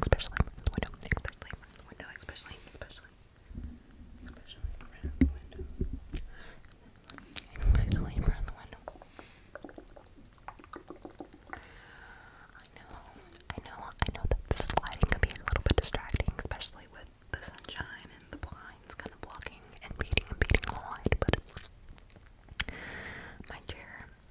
Especially window. Especially window. Especially, especially. the window. Especially the window. I know, I know, I know that this lighting can be a little bit distracting, especially with the sunshine and the blinds kind of blocking and beating and beating the light, but my chair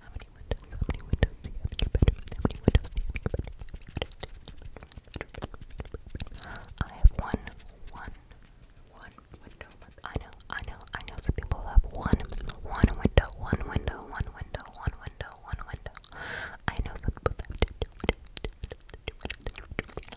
How many windows? How many windows do you have in your How many windows do you have in your I have one, one, one window. I know, I know, I know. Some people have one, one window, one window, one window, one window, one window. I know some people have two, two, two, two, two, two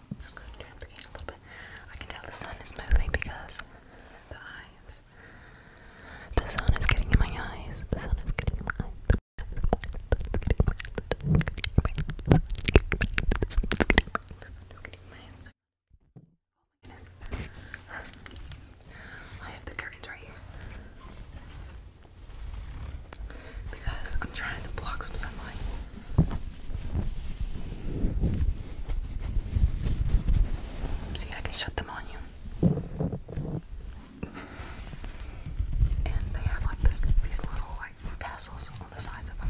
i can tell the sun is moving because the eyes. The sun is getting in my eyes. The sun is getting in my eyes. I have the curtains right here because I'm trying to block some sunlight. See, I can shut them on you. and they have like these little like tassels on the sides of them.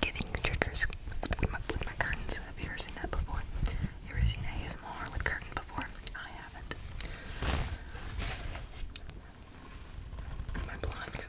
giving triggers with my, with my curtains. Have you ever seen that before? You ever seen ASMR with curtain before? I haven't. My blinds.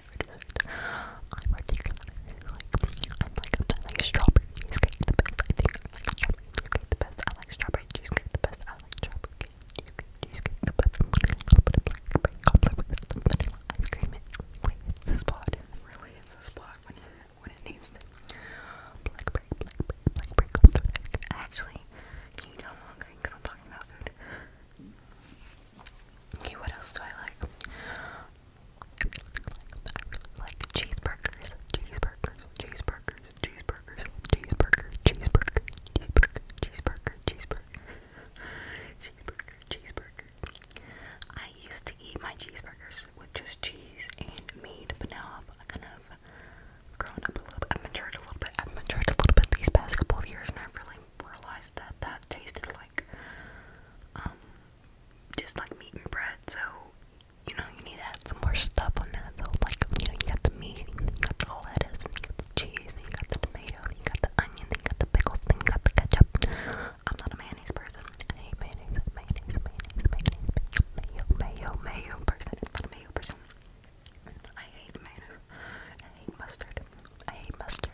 favorite dessert. I'm particular. Like, I like, I like strawberry cheesecake the best. I think I like strawberry cheesecake the best. I like strawberry cheesecake the best. I like strawberry cheesecake, cheesecake the best. I'm gonna put a blackberry cobbler with some vanilla ice cream in. Really hits the spot. Really hits the spot when it when it needs to. Blackberry, blackberry, blackberry cobbler with ice cream. Actually, can you tell I'm hungry because I'm talking about food? Okay, what else do I like? I really like cheeseburgers, cheeseburgers, cheeseburgers, cheeseburgers, cheeseburger, cheeseburger, cheeseburger, cheeseburger, cheeseburger, cheeseburger, cheeseburger. I used to eat my cheeseburgers with just cheese and meat, but now I've kind of grown up a little bit. I've matured a little bit. I've matured a little bit these past couple of years, and I've really realized that that tasted like like um just like meat and bread so you know you need to add some more stuff on that so like you know you got the meat and you got the lettuce and you got the cheese and you got the tomato and you got the onion and you got the pickles and you got the ketchup I'm not a mayonnaise person I hate mayonnaise mayonnaise mayonnaise mayonnaise mayo mayo mayo, mayo person I'm not a mayo person I hate mayonnaise I hate mustard. I hate mustard.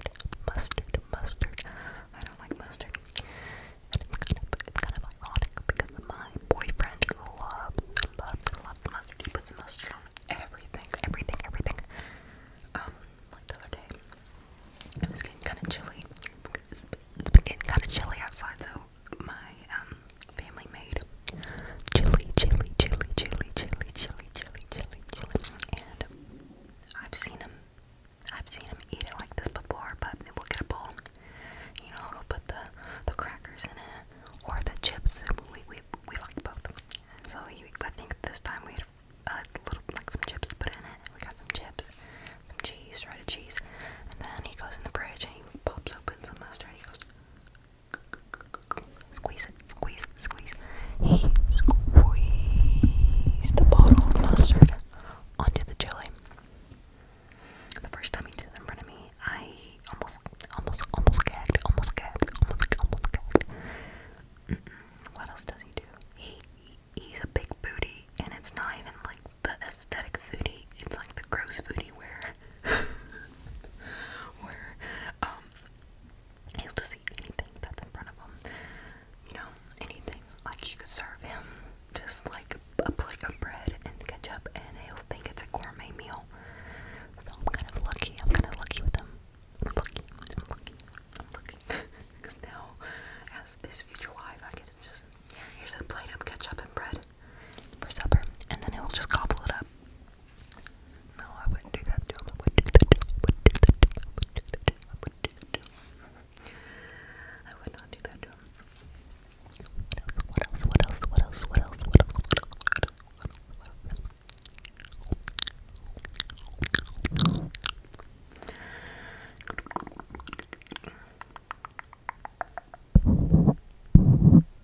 Mustard. Mustard. I don't like mustard. it's kind of, it's kind of ironic because my boyfriend loves, loves, loves mustard. He puts mustard on everything, everything, everything. Um, like the other day, it was getting kind of chilly. It's been getting kind of chilly outside, so my um, family made chili, chili, chili, chili, chili, chili, chili, chili, chili, and I've seen him. I've seen him eat it like this before, but we'll get a bowl. You know, we'll put the the crackers in it or the chips. We we we like both. And so you, I think this time we had uh, a little like some chips to put in it. We got some chips, some cheese, shredded cheese, and then he goes in the fridge and he pops open some mustard. and He goes, Squeeze it, squeeze, squeeze. He squeezed the bottle of mustard onto the jelly. The first time he did it in front of me, I almost, almost, almost gagged, almost gagged, almost, gagged. What else does he do? He, he's a big booty, and it's not even like the aesthetic booty. It's like the gross booty where, where, um, He'll just eat anything that's in front of him. You know, anything. Like you could serve him just like a plate of bread and ketchup, and he'll think it's a gourmet meal. So I'm kind of lucky. I'm kind of lucky with him. I'm lucky. I'm lucky. I'm lucky. Because now, as his future wife, I get to just, yeah, here's a plate of ketchup and bread for supper, and then he'll just gobble it up. No, I wouldn't do that to him. I wouldn't do that to I wouldn't do that to I wouldn't do that to I wouldn't do that to What else? What else? What else? What else? What else? What else? What else? What else?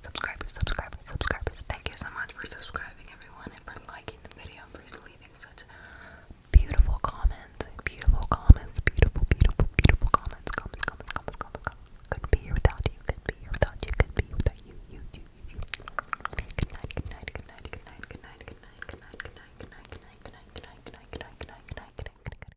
Subscribers, subscribers, subscribers. Thank you so much for subscribing, everyone, and for liking the video, and for leaving such beautiful comments, beautiful comments, beautiful, beautiful, beautiful comments, comments, comments, comments, comments, Couldn't be here without you. Couldn't be here without you. Couldn't be without you. You, you, you, Good night. Good night. Good night. Good night. Good night. Good night. Good night. Good night. Good night. Good night. Good night. Good night. Good night. Good night. Good night. Good night.